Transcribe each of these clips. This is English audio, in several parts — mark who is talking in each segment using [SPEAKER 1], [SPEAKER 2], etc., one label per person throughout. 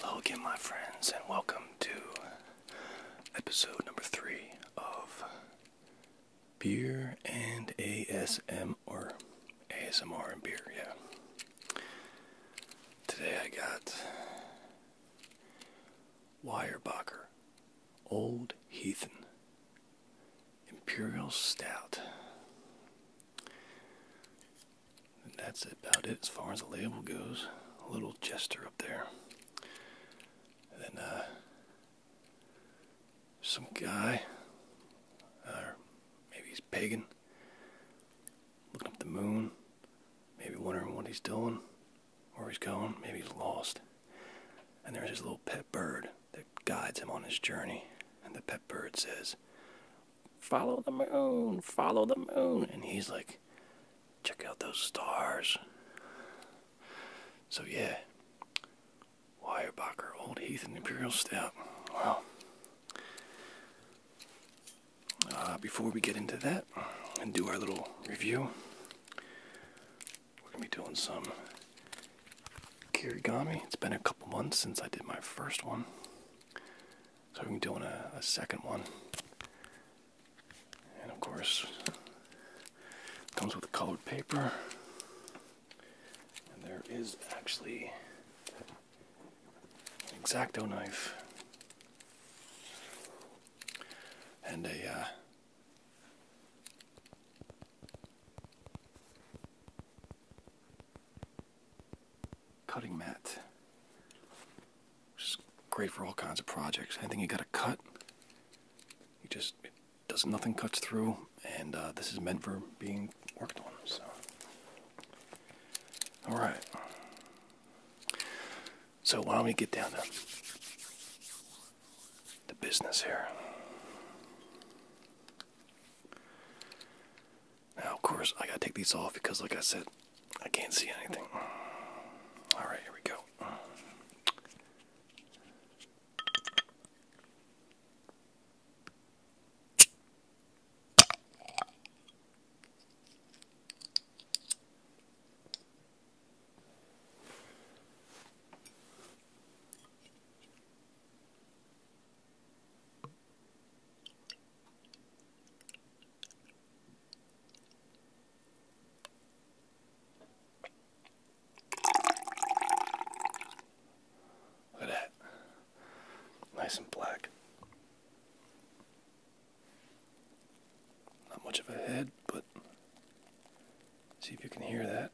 [SPEAKER 1] Hello again, my friends, and welcome to episode number three of Beer and ASMR, or ASMR and beer, yeah. Today I got Weyerbacher, Old Heathen, Imperial Stout. that's about it as far as the label goes. A little jester up there. then, uh, some guy, or uh, maybe he's pagan, looking up the moon, maybe wondering what he's doing where he's going. Maybe he's lost. And there's his little pet bird that guides him on his journey. And the pet bird says, Follow the moon, follow the moon. And he's like, Check out those stars. So, yeah, Weyerbacher, Old Heath, and Imperial Step. Wow. Uh, before we get into that and do our little review, we're going to be doing some kirigami. It's been a couple months since I did my first one, so we're doing a, second one. And of course, comes with colored paper, and there is actually an exacto knife and a uh, cutting mat, which is great for all kinds of projects. Anything you got to cut, it just does nothing cuts through, and uh, this is meant for being worked on. So, all right. So why don't we get down to the business here? Now, of course, I gotta take these off because, like I said, I can't see anything. All right, here we go. Look at that. Nice and black. Not much of a head, but see if you can hear that.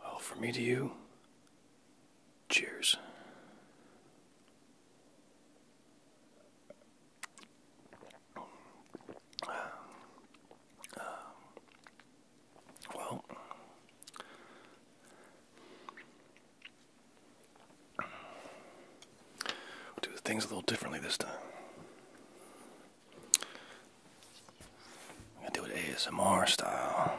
[SPEAKER 1] Well, for me to you, cheers. Well, do things a little differently this time. I'm gonna do it ASMR style.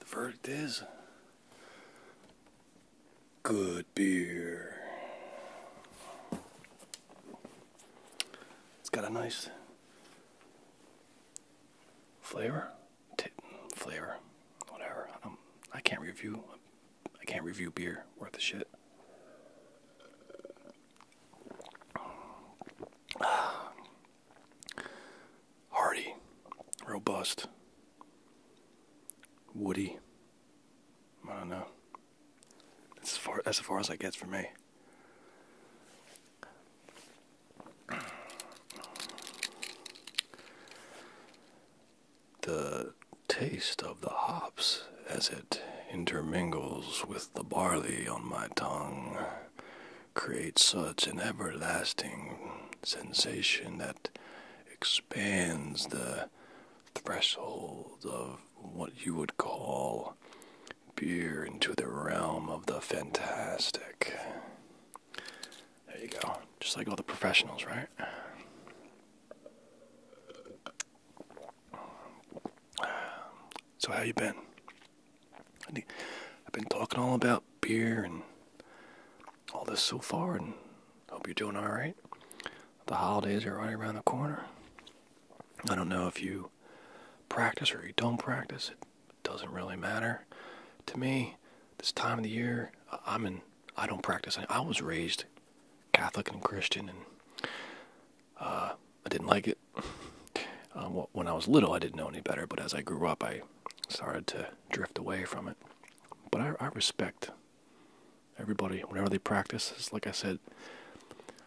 [SPEAKER 1] The verdict is good beer. It's got a nice flavor, flavor, whatever. Um, I can't review. I can't review beer worth a shit. Hardy, robust, woody, I don't know. That's as far, as, I get for me. The taste of the hops as it intermingles with the barley on my tongue creates such an everlasting sensation that expands the threshold of what you would call beer into the realm of the fantastic. There you go. Just like all the professionals, right? So how you been? I've been talking all about beer and all this so far, and hope you're doing all right. The holidays are right around the corner. I don't know if you practice or you don't practice, it doesn't really matter. To me, this time of the year, I'm in, I don't practice. I was raised Catholic and Christian, and uh, I didn't like it. Um, when I was little, I didn't know any better, but as I grew up, I started to drift away from it. But I respect Everybody, whatever they practice, like I said,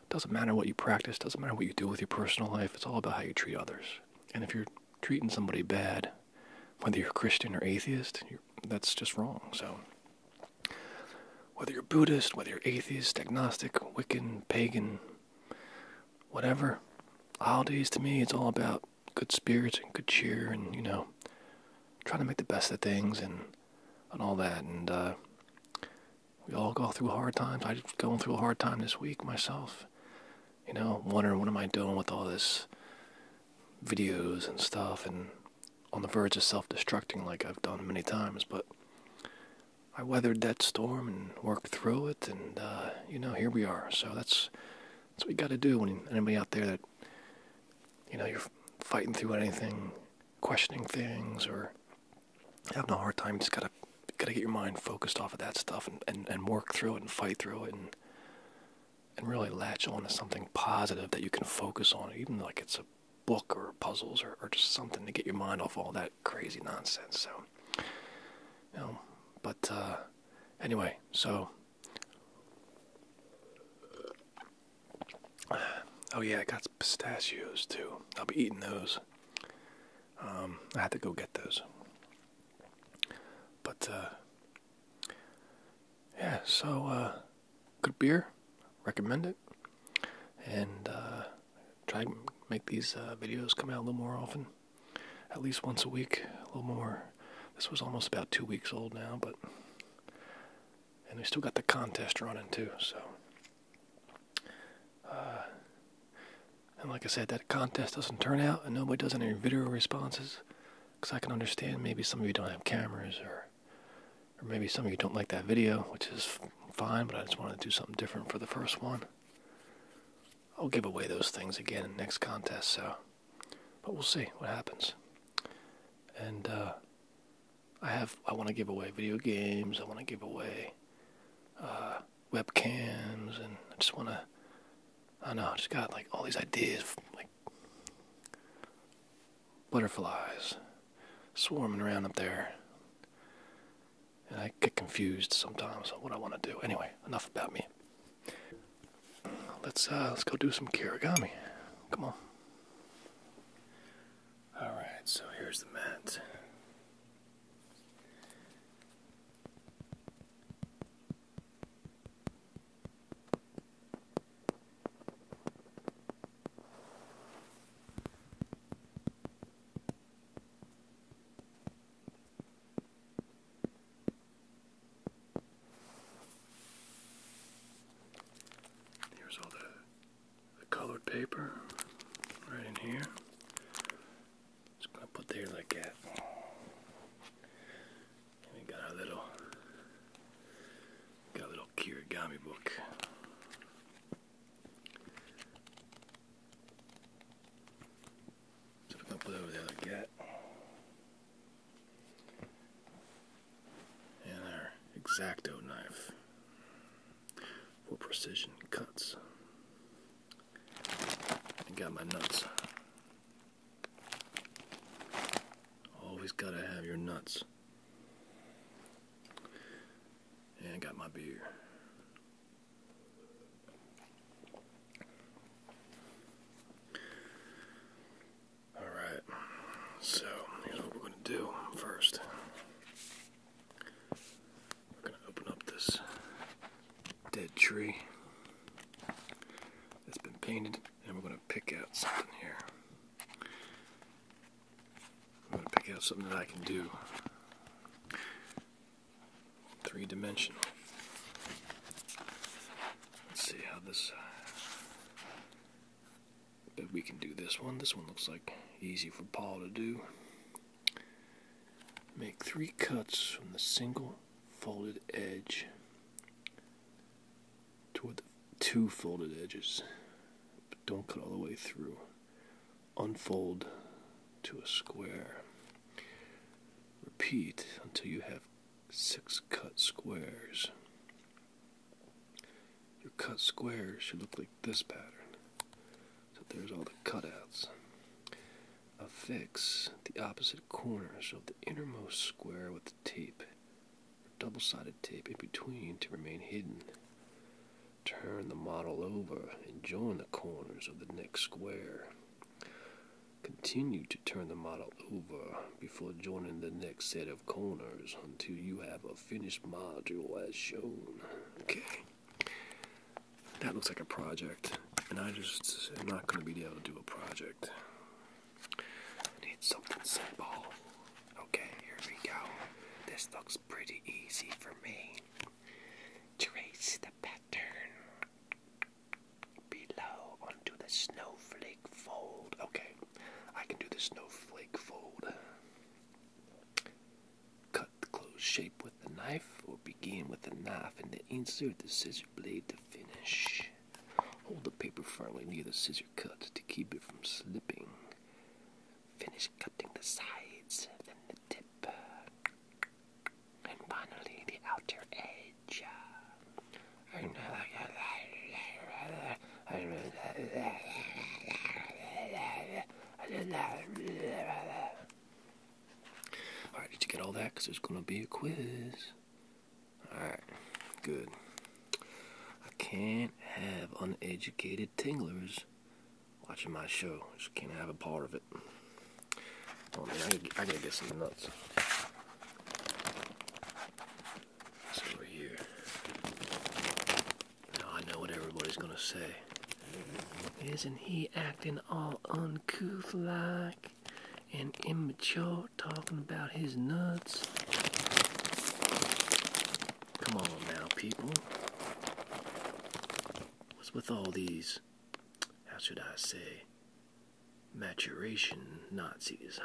[SPEAKER 1] doesn't matter what you practice, doesn't matter what you do with your personal life, it's all about how you treat others. And if you're treating somebody bad, whether you're Christian or atheist, that's just wrong. So, whether you're Buddhist, whether you're atheist, agnostic, Wiccan, pagan, whatever, all holidays to me, it's all about good spirits and good cheer and, you know, trying to make the best of things and and all that. And uh, we all go through hard times. I'm going through a hard time this week myself. You know, wondering what am I doing with all this videos and stuff, and on the verge of self-destructing like I've done many times. But I weathered that storm and worked through it, and uh, you know, here we are. So that's what you got to do when anybody out there that you know you're fighting through anything questioning things or having a hard time. Just gotta gotta get your mind focused off of that stuff and, and, and work through it and fight through it and and really latch on to something positive that you can focus on, even like it's a book or puzzles or, just something to get your mind off all that crazy nonsense. So you know, but uh, anyway, so Oh yeah, I got pistachios too. I'll be eating those. Um, I had to go get those. But uh, yeah, so uh, good beer. Recommend it, and uh, try make these videos come out a little more often. At least once a week, a little more. This was almost about two weeks old now, but and we still got the contest running too. So, uh, and like I said, that contest doesn't turn out, and nobody does any video responses, because I can understand maybe some of you don't have cameras, or or maybe some of you don't like that video, which is fine. But I just wanted to do something different for the first one. I'll give away those things again in next contest. So, but we'll see what happens. And uh, I have I want to give away video games. I want to give away uh, webcams, and I just want to. I know. I just got like all these ideas, like butterflies swarming around up there, and I get confused sometimes on what I want to do. Anyway, enough about me. Let's uh, let's go do some kirigami. Come on. Alright, so here's the mat. Here's all the the colored paper right in here. Just gonna put there like that. we got our little got a little kirigami book. So gonna put over there like that and our exacto knife for precision cuts. I got my nuts. Always gotta have your nuts. And I got my beer. Alright, so here's what we're gonna do first. We're going to open up this dead tree that's been painted, and we're going to pick out something here. I'm going to pick out something that I can do three dimensional. Let's see how this uh, but we can do this one. This one looks like easy for Paul to do. Make three cuts from the single folded edge toward the two folded edges. But don't cut all the way through. Unfold to a square. Repeat until you have six cut squares. Your cut squares should look like this pattern. So there's all the cutouts. Affix the opposite corners of the innermost square with the tape or double sided tape in between to remain hidden. Turn the model over and join the corners of the next square. Continue to turn the model over before joining the next set of corners until you have a finished module as shown. Okay. That looks like a project, and I just not going to be able to do a project. need something simple. Okay, here we go. This looks pretty easy for me. Trace the pattern below onto the snowflake fold. Okay, I can do the snowflake fold. Cut the closed shape with the knife, or begin with the knife and then insert the scissor blade to finish. Hold the paper firmly near the scissor cut to keep it from slipping. Finish cutting the sides, then the tip, and finally the outer edge. Alright, did you get all that? Because there's going to be a quiz. Alright, good. I can't have uneducated tinglers watching my show. Just can't have a part of it. Oh man, I got I gotta get some nuts. Now I know what everybody's gonna say. Isn't he acting all uncouth like and immature talking about his nuts? Come on now, people. What's with all these, how should I say, maturation Nazis?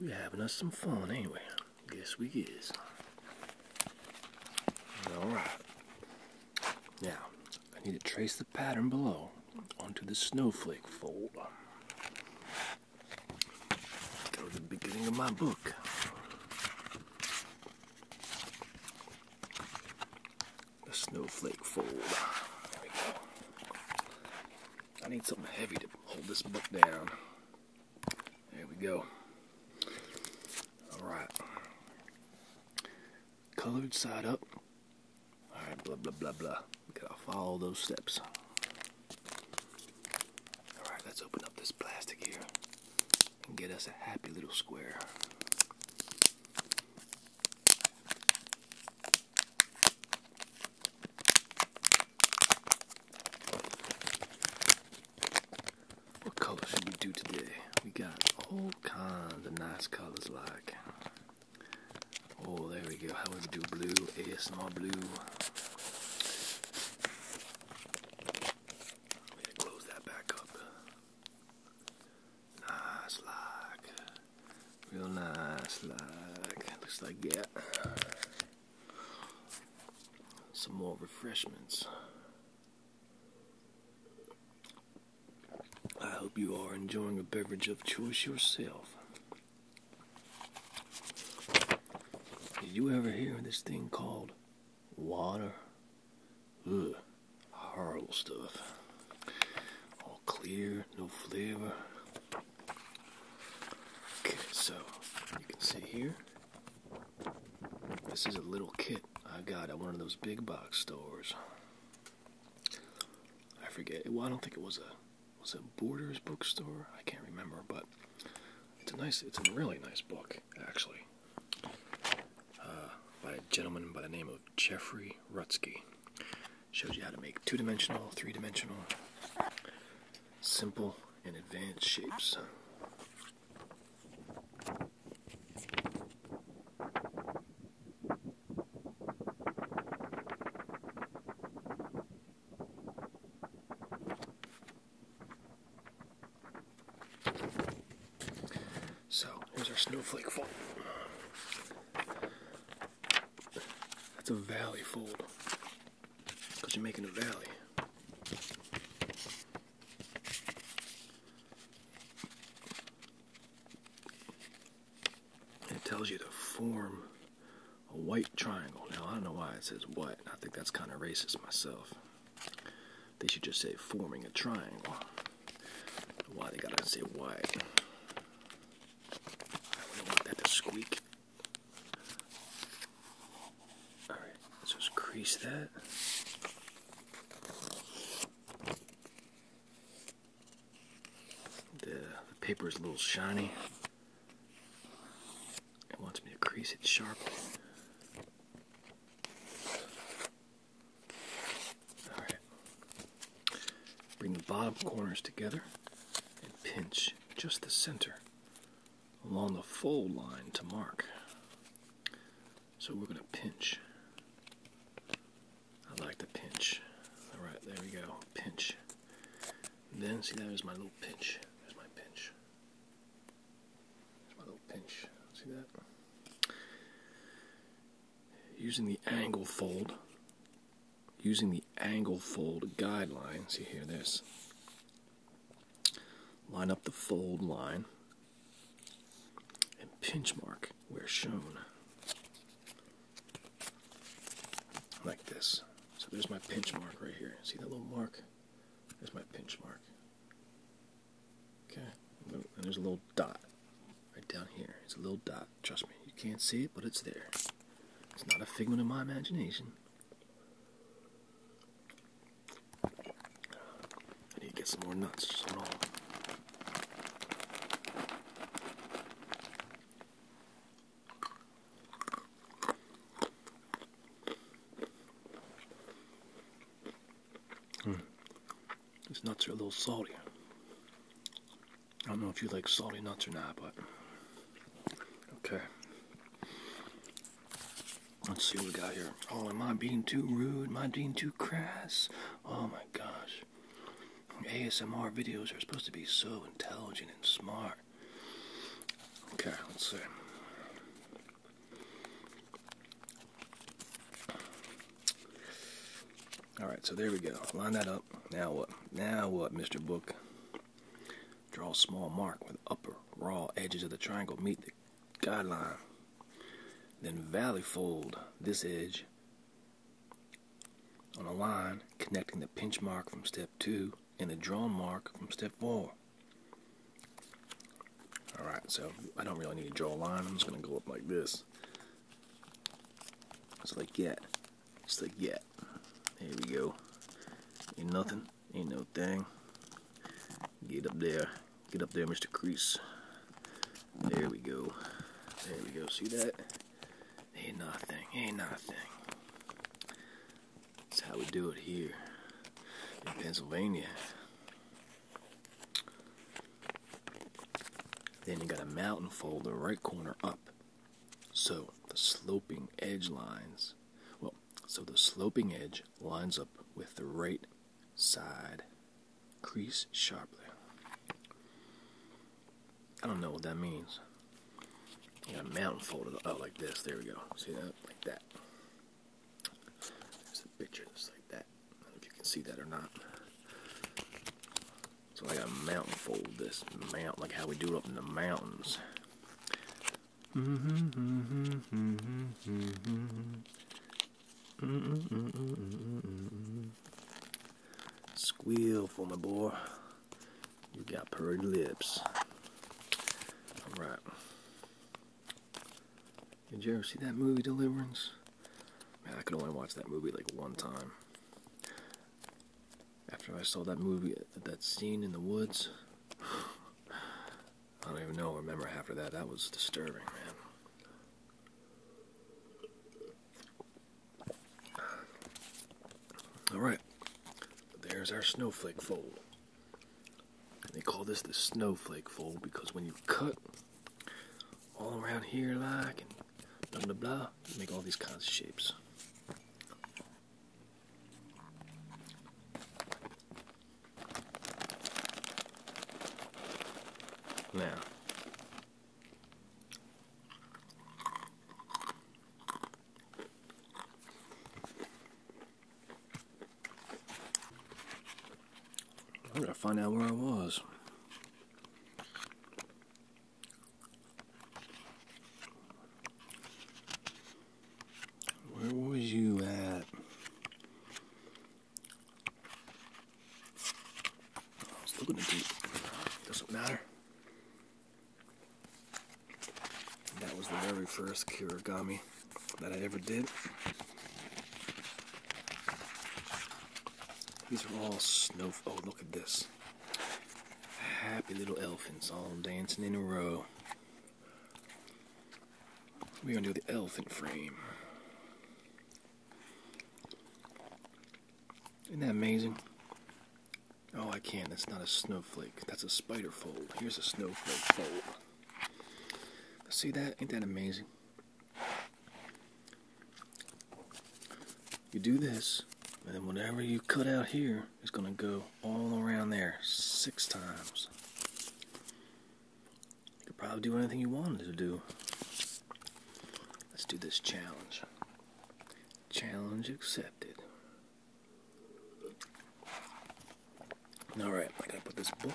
[SPEAKER 1] We are having us some fun anyway. Guess we is. Alright. Now, I need to trace the pattern below onto the snowflake fold. Go to the beginning of my book the snowflake fold. There we go. I need something heavy to hold this book down. There we go. Alright. Colored side up. Alright, blah, blah, blah, blah. We gotta follow those steps. Alright, let's open up this plastic here and get us a happy little square. What color should we do today? We got all kinds of nice colors like. Oh, there we go. How we do blue? ASMR blue. We gotta close that back up. Nice like. Real nice like. Looks like, yeah. Some more refreshments. I hope you are enjoying a beverage of choice yourself. Did you ever hear of this thing called water. Ugh, horrible stuff. All clear, no flavor. Okay, so you can see here. This is a little kit I got at one of those big box stores. I forget. Well, I don't think it was a was it Borders bookstore. I can't remember, but it's a nice. It's a really nice book, actually. Uh, by a gentleman by the name of Jeffrey Rutsky. Shows you how to make two dimensional, three dimensional, simple, and advanced shapes. So here's our snowflake fold. That's a valley fold. Because you're making a valley. it tells you to form a white triangle. Now I don't know why it says white. I think that's kind of racist myself. They should just say forming a triangle. Why they gotta say why? I wouldn't want that to squeak. Alright, let's just crease that. The, paper is a little shiny. I want me to crease it sharply. All right. Bring the bottom corners together and pinch just the center along the fold line to mark. So we're going to pinch. I like to pinch. All right, there we go. Pinch. then see that is my little pinch. There's my pinch. There's my little pinch. See that? Using the angle fold, using the angle fold guideline, see here this. Line up the fold line and pinch mark where shown. Like this. So there's my pinch mark right here. See that little mark? There's my pinch mark. Okay, and there's a little dot right down here. It's a little dot. Trust me, you can't see it, but it's there. It's not a figment of my imagination. I need to get some more nuts. Mm. These nuts are a little salty. I don't know if you like salty nuts or not, but okay. Let's see what we got here. Oh, am I being too rude? Am I being too crass? Oh my gosh. ASMR videos are supposed to be so intelligent and smart. Okay, let's see. All right, so there we go. Line that up. Now what? Now what, Mr. Book? Draw a small mark with upper raw edges of the triangle meet the guideline. Then valley fold this edge on a line connecting the pinch mark from step 2 and the drawn mark from step 4. Alright, so I don't really need to draw a line. I'm just going to go up like this. Just like that. Just like that. There we go. Ain't nothing. Ain't no thing. Get up there. Get up there, Mr. Crease. There we go. There we go. See that? Ain't nothing. Ain't nothing. That's how we do it here in Pennsylvania. Then you got a mountain fold, the right corner up. So the sloping edge lines, well, so the sloping edge lines up with the right side crease sharply. I don't know what that means. You got a mountain folded up uh, like this. There we go. See that? Like that. There's a picture just like that. I don't know if you can see that or not. So I got a mountain fold this mountain, like how we do it up in the mountains. Squeal for my boy. You got purred lips. Alright. Did you ever see that movie Deliverance? Man, I could only watch that movie like one time. After I saw that movie, that scene in the woods, I don't even know, remember after that. That was disturbing, man. Alright, there's our snowflake fold they call this the snowflake fold because when you cut all around here, like, and blah blah blah, you make all these kinds of shapes. Now, I gotta find out where I was. Where was you at? I was looking at you. Doesn't matter. That was the very first kirigami that I ever did. These are all snow. Oh, look at this. Happy little elephants all dancing in a row. We're going to do the elephant frame. Isn't that amazing? Oh, I can't. That's not a snowflake. That's a spider fold. Here's a snowflake fold. See that? Ain't that amazing? You do this, and then whatever you cut out here is going to go all around there six times. You could probably do anything you wanted to do. Let's do this challenge. Challenge accepted. All right, I gotta put this book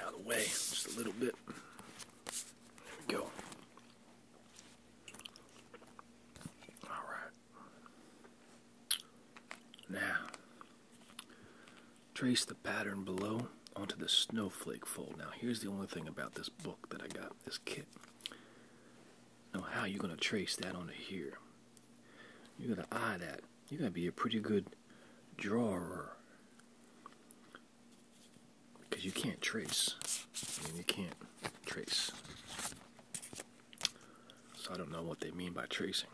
[SPEAKER 1] out of the way just a little bit. There we go. All right. Now, trace the pattern below onto the snowflake fold. Now, here's the only thing about this book that I got, this kit. Now, how you gonna trace that onto here? You gotta eye that. You gotta be a pretty good drawer because you can't trace. I mean, you can't trace. So I don't know what they mean by tracing,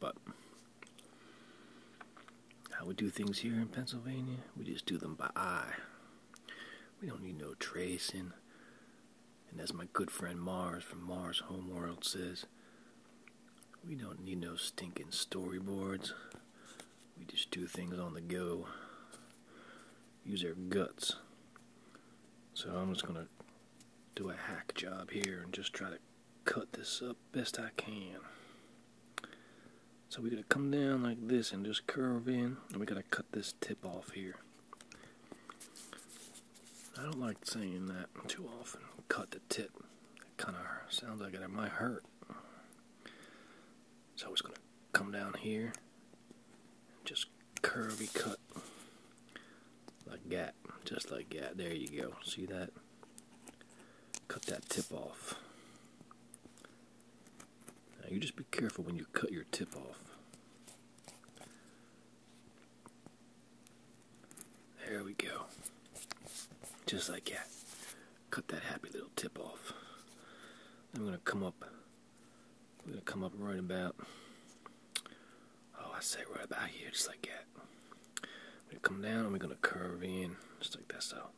[SPEAKER 1] but how we do things here in Pennsylvania, we just do them by eye. We don't need no tracing. And as my good friend Mars from Mars Homeworld says, we don't need no stinking storyboards. We just do things on the go. Use our guts. So I'm just gonna do a hack job here and just try to cut this up best I can. So we gotta come down like this and just curve in and we gotta cut this tip off here. I don't like saying that too often. Cut the tip. It kind of sounds like it might hurt. So it's going to come down here, just curvy cut like that, just like that. There you go. See that? Cut that tip off. Now you just be careful when you cut your tip off. There we go. Just like that. Cut that happy little tip off. I'm gonna come up. We're gonna come up right about. Oh, I say right about here, just like that. i come down and we're gonna curve in, just like that. So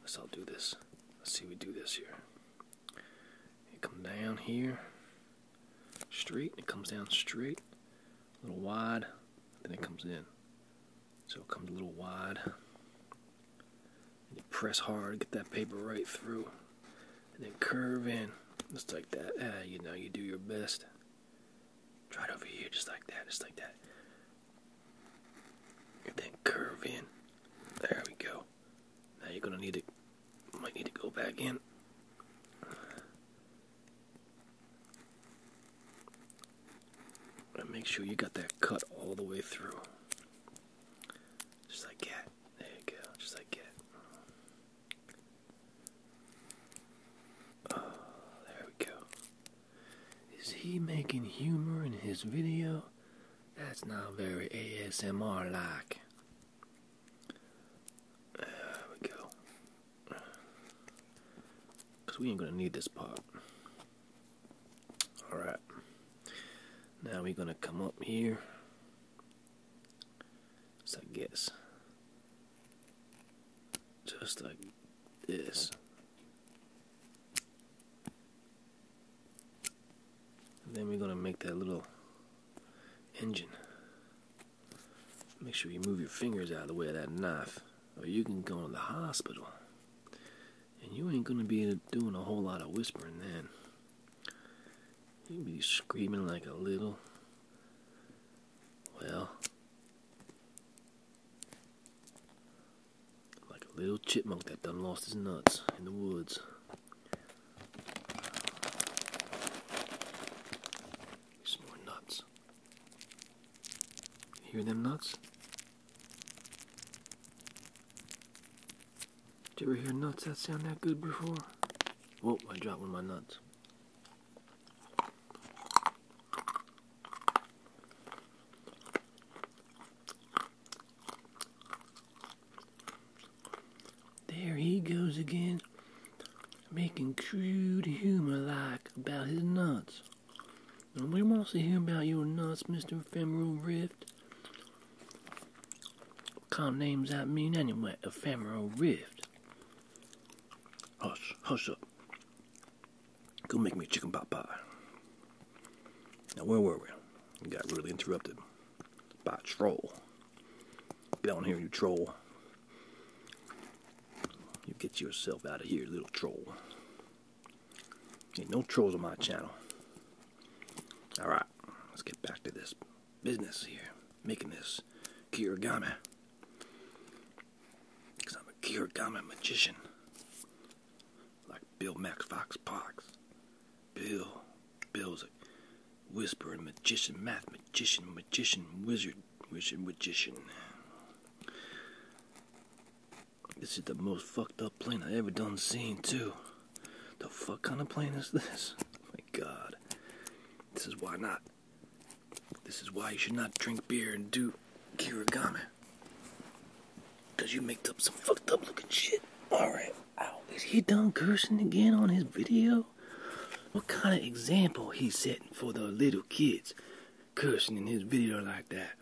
[SPEAKER 1] let's all do this. Let's see we do this here. You come down here, straight. It comes down straight, a little wide, then it comes in. So it comes a little wide. you press hard, get that paper right through. And then curve in, just like that. Ah, you know, you do your best. Try it over here, just like that, just like that. And then curve in. There we go. Now you're gonna need to, might need to go back in make sure you got that cut all the way through. Just like that. There you go. Just like that. Oh, there we go. Is he making humor in his video? That's not very ASMR like. There we go. Because we ain't going to need this part. Alright. Now we're going to come up here. So I guess. Just like this. then we're going to make that little engine. Make sure you move your fingers out of the way of that knife or you can go to the hospital. And you ain't gonna be doing a whole lot of whispering then. You'd be screaming like a little. Well. Like a little chipmunk that done lost his nuts in the woods. Some nuts. Hear them nuts? Did you ever hear nuts that sound that good before? Whoa, I dropped one of my nuts. There he goes again, making crude humor like about his nuts. We want to hear about your nuts, Mr. Ephemeral Rift. What kind of names that mean anyway? Ephemeral Rift. Hush, hush up. Go make me a chicken pot pie. Now, where were we? We got really interrupted by a troll. Get on here, you troll. You get yourself out of here, little troll. Ain't no trolls on my channel. Alright, let's get back to this business here. Making this kirigami. Because I'm a kirigami magician. Like Bill Max Fox Parks. Bill. Bill's a whispering magician, math magician, magician, wizard, wizard, magician. This is the most fucked up plane I ever done seen too. The fuck kind of plane is this? Oh my god. This is why not. This is why you should not drink beer and do kirigami. Cause you mixed up some fucked up looking shit. Alright. Ow. Is he done cursing again on his video? What kind of example he setting for the little kids? cursing in his video like that.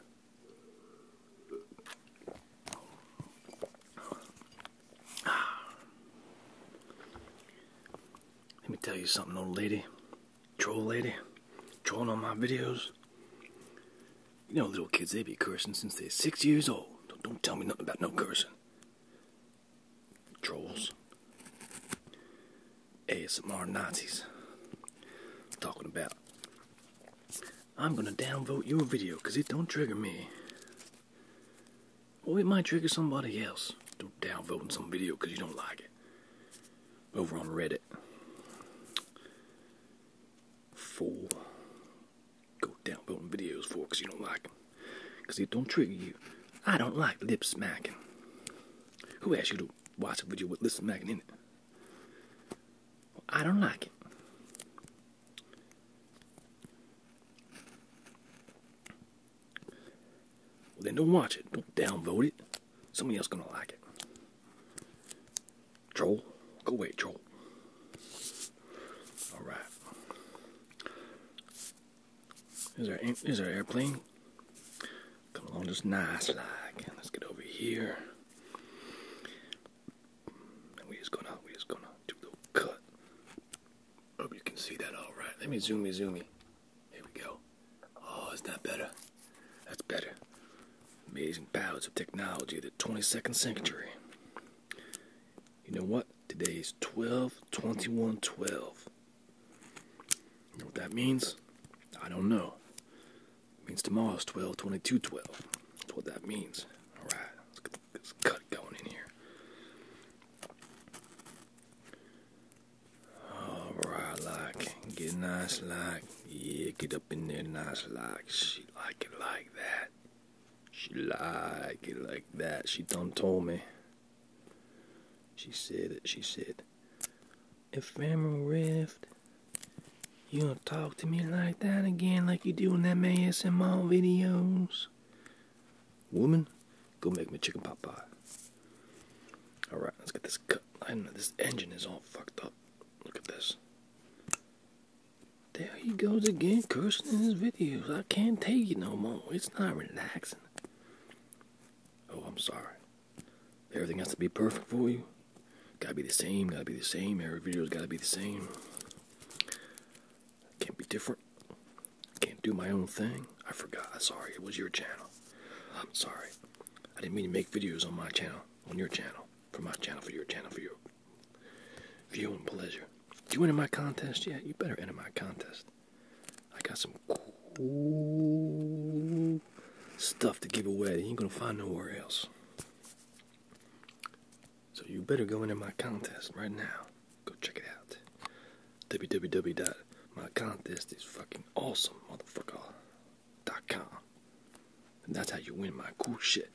[SPEAKER 1] Let me tell you something, old lady. Troll lady. Trolling on my videos. You know, little kids, they be cursing since they're six years old. Don't, don't tell me nothing about no cursing. Trolls. ASMR Nazis talking about. I'm gonna downvote your video because it don't trigger me. Well, it might trigger somebody else. Don't downvote some video because you don't like it. Over on Reddit. Fool. Go downvoting videos for because you don't like them. Because it don't trigger you. I don't like lip smacking. Who asked you to watch it video with Lil Mac in it. I don't like it. Well, then don't watch it. Don't downvote it. Somebody else gonna like it. Troll, go away, troll. All right. Is there is there airplane? Come along just nice like. Let's get over here. And we just gonna we just gonna do a little cut. Hope you can see that alright. Let me zoom me zoomy. Here we go. Oh, is that better? That's better. Amazing powers of technology of the 22nd century. You know what? Today is 12 21 12 know what that means? I don't know. It means tomorrow's 12, 22, 12. That's what that means. Alright, let's, let's cut going in here. Alright, like, get nice, like, yeah, get up in there nice, like, she like it like that. She like it like that. She done told me. She said it, she said. Ephemeral Rift. You don't talk to me like that again, like you do in them ASMR videos. Woman, go make me chicken pot pie. Alright, let's get this cut. I this engine is all fucked up. Look at this. There he goes again, cursing in his videos. I can't take it no more. It's not relaxing. Oh, I'm sorry. Everything has to be perfect for you. Gotta be the same, gotta be the same. Every video's gotta be the same. Can't be different. Can't do my own thing. I forgot. Sorry, it was your channel. I'm sorry. I didn't mean to make videos on my channel, on your channel, for my channel, for your channel, for your viewing pleasure. You entered my contest yet? Yeah, you better enter my contest. I got some cool stuff to give away you ain't gonna find nowhere else. So you better go into my contest right now. Go check it out. www.mycontest And that's how you win my cool shit.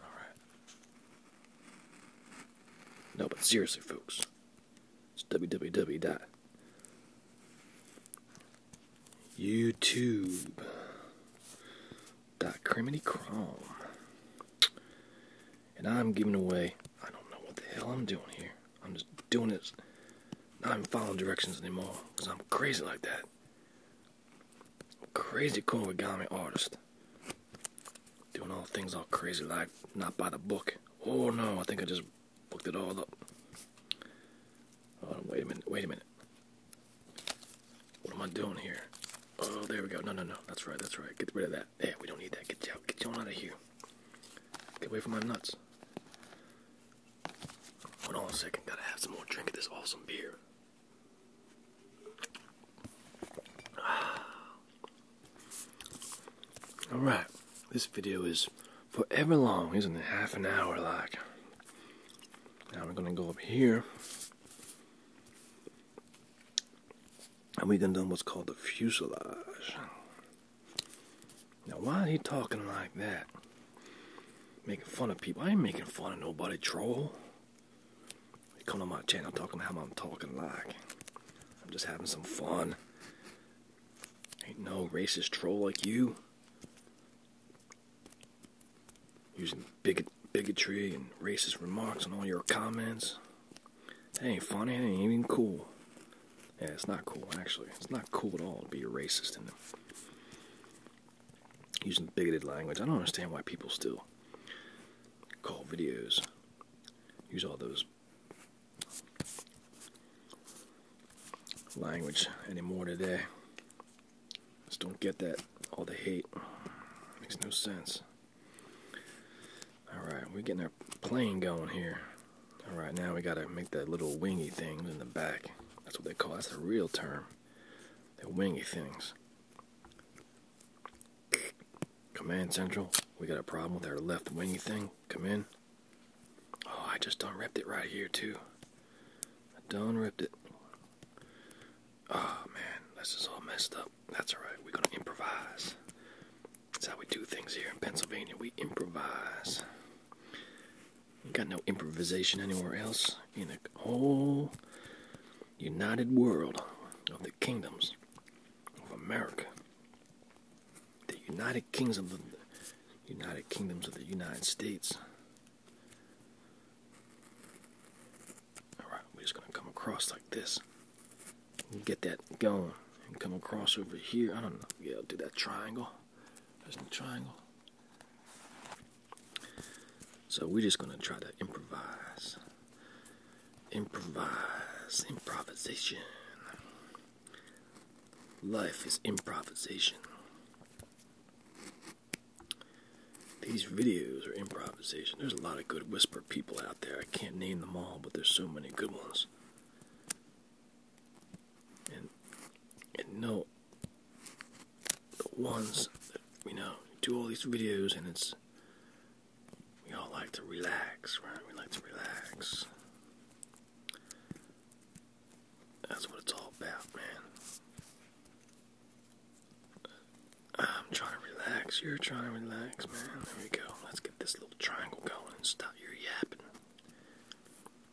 [SPEAKER 1] Alright. No, but seriously, folks, it's www. YouTube. Dot Criminy And I'm giving away, I don't know what the hell I'm doing here. I'm just doing this. Not even following directions anymore because I'm crazy like that. Crazy Korigami artist. Doing all things all crazy like, not by the book. Oh no, I think I just looked it all up. wait a minute, wait a minute. What am I doing here? Oh, there we go. No, no, no. That's right, that's right. Get rid of that. Yeah, we don't need that. Get out. Get out of here. Get away from my nuts. Hold on a second. Gotta have some more drink of this awesome beer. Alright, this video is forever long, isn't it? Half an hour like. Now we're gonna go up here. And we're gonna do what's called the fuselage. Now why is he talking like that? Making fun of people. I ain't making fun of nobody, troll. They come to my channel talking how I'm talking like. I'm just having some fun. Ain't no racist troll like you. Using bigotry and racist remarks in all your comments. That ain't funny, that ain't even cool. Yeah, it's not cool, actually. It's not cool at all to be a racist and using bigoted language. I don't understand why people still call videos, use all those language anymore today. Just don't get that. All the hate. Makes no sense. Alright, we're getting our plane going here. Alright, now we gotta make that little wingy thing in the back. That's what they call that's the real term. The wingy things. Command Central, we got a problem with our left wingy thing. Come in. Oh, I just done ripped it right here too. I done ripped it. Oh man, this is all messed up. That's alright, we're gonna improvise. That's how we do things here in Pennsylvania. We improvise. You got no improvisation anywhere else in the whole united world of the kingdoms of America the United Kingdoms of the United Kingdoms of the United States. Alright, we're just gonna come across like this. Get that going. And come across over here. I don't know. Yeah, do that triangle. There's no triangle. So we're just gonna try to improvise. Improvise. Improvisation. Life is improvisation. These videos are improvisation. There's a lot of good whisper people out there. I can't name them all, but there's so many good ones. And and no the ones that you know do all these videos and it's we all like to relax, right? We like to relax. That's what it's all about, man. I'm trying to relax. You're trying to relax, man. There we go. Let's get this little triangle going and stop your yapping.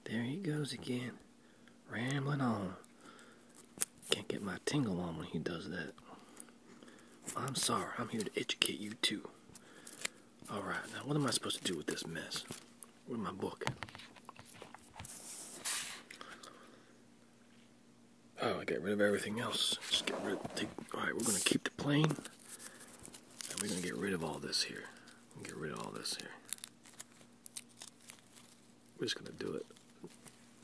[SPEAKER 1] There he goes again. Rambling on. Can't get my tingle on when he does that. I'm sorry. I'm here to educate you, too. Alright, now what am I supposed to do with this mess? with my book. Oh, I get rid of everything else. Just get rid of, take, all right, we're going to keep the plane. we're going to get rid of all this here. Get rid of all this here. We're just going to do it.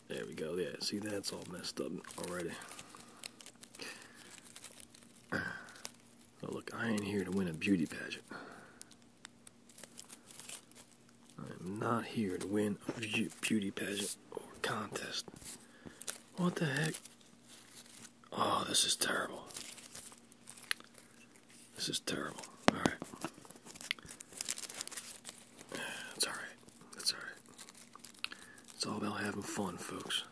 [SPEAKER 1] There we go. Yeah, see that's all messed up already. Oh, look, I ain't here to win a beauty pageant. I'm not here to win a beauty pageant or contest. What the heck? Oh, this is terrible. This is terrible. Alright. That's alright. It's all about having fun, folks.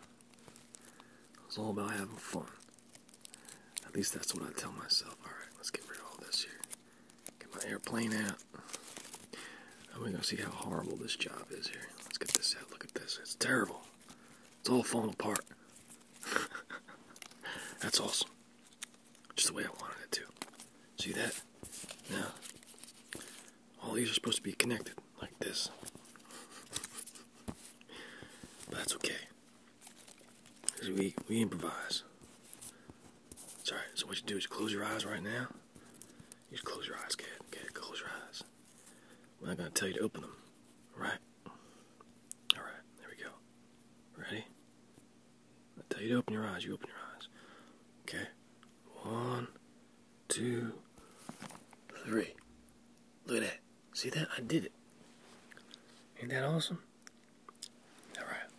[SPEAKER 1] It's all about having fun. At least that's what I tell myself. Alright, let's get rid of all this here. Get my airplane out. And we gonna see how horrible this job is here. Let's get this out. Look at this. It's terrible. It's all falling apart. that's awesome. Just the way I wanted it to. See that? Now, all these are supposed to be connected like this. that's okay. Cause we we improvise. alright. So what you do is close your eyes right now. You just close your eyes, kid. Kid, close your eyes. I'm not gonna tell you to open them. Alright? Alright, there we go. Ready? I tell you to open your eyes, you open your eyes. Okay? One, two, three. Look at that. See that? I did it. Ain't that awesome? Alright.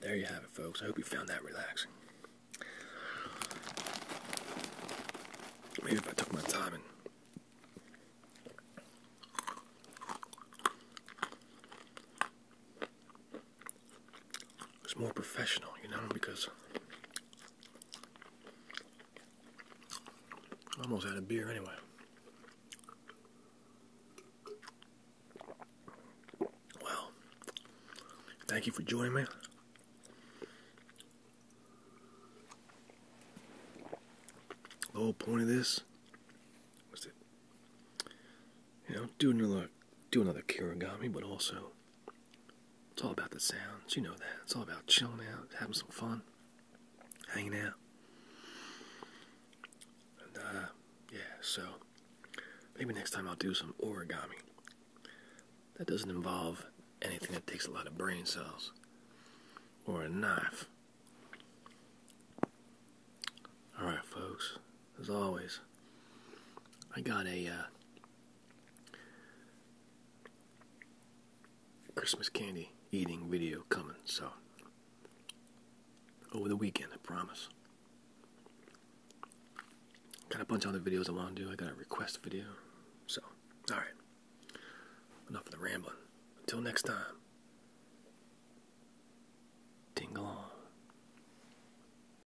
[SPEAKER 1] There you have it, folks. I hope you found that relaxing. Maybe if I took my time it's more professional, you know, because I almost had a beer anyway. Well, thank you for joining me. The whole point of this was to, you know, do another do another kirigami, but also it's all about the sounds, you know that. It's all about chilling out, having some fun, hanging out. Uh, yeah, so maybe next time I'll do some origami. That doesn't involve anything that takes a lot of brain cells or a knife. Alright, folks, as always, I got a uh, Christmas candy eating video coming, so over the weekend, I promise. Got a bunch of other videos I want to do. I got a request video. So, alright. Enough of the rambling. Until next time. Tingle on.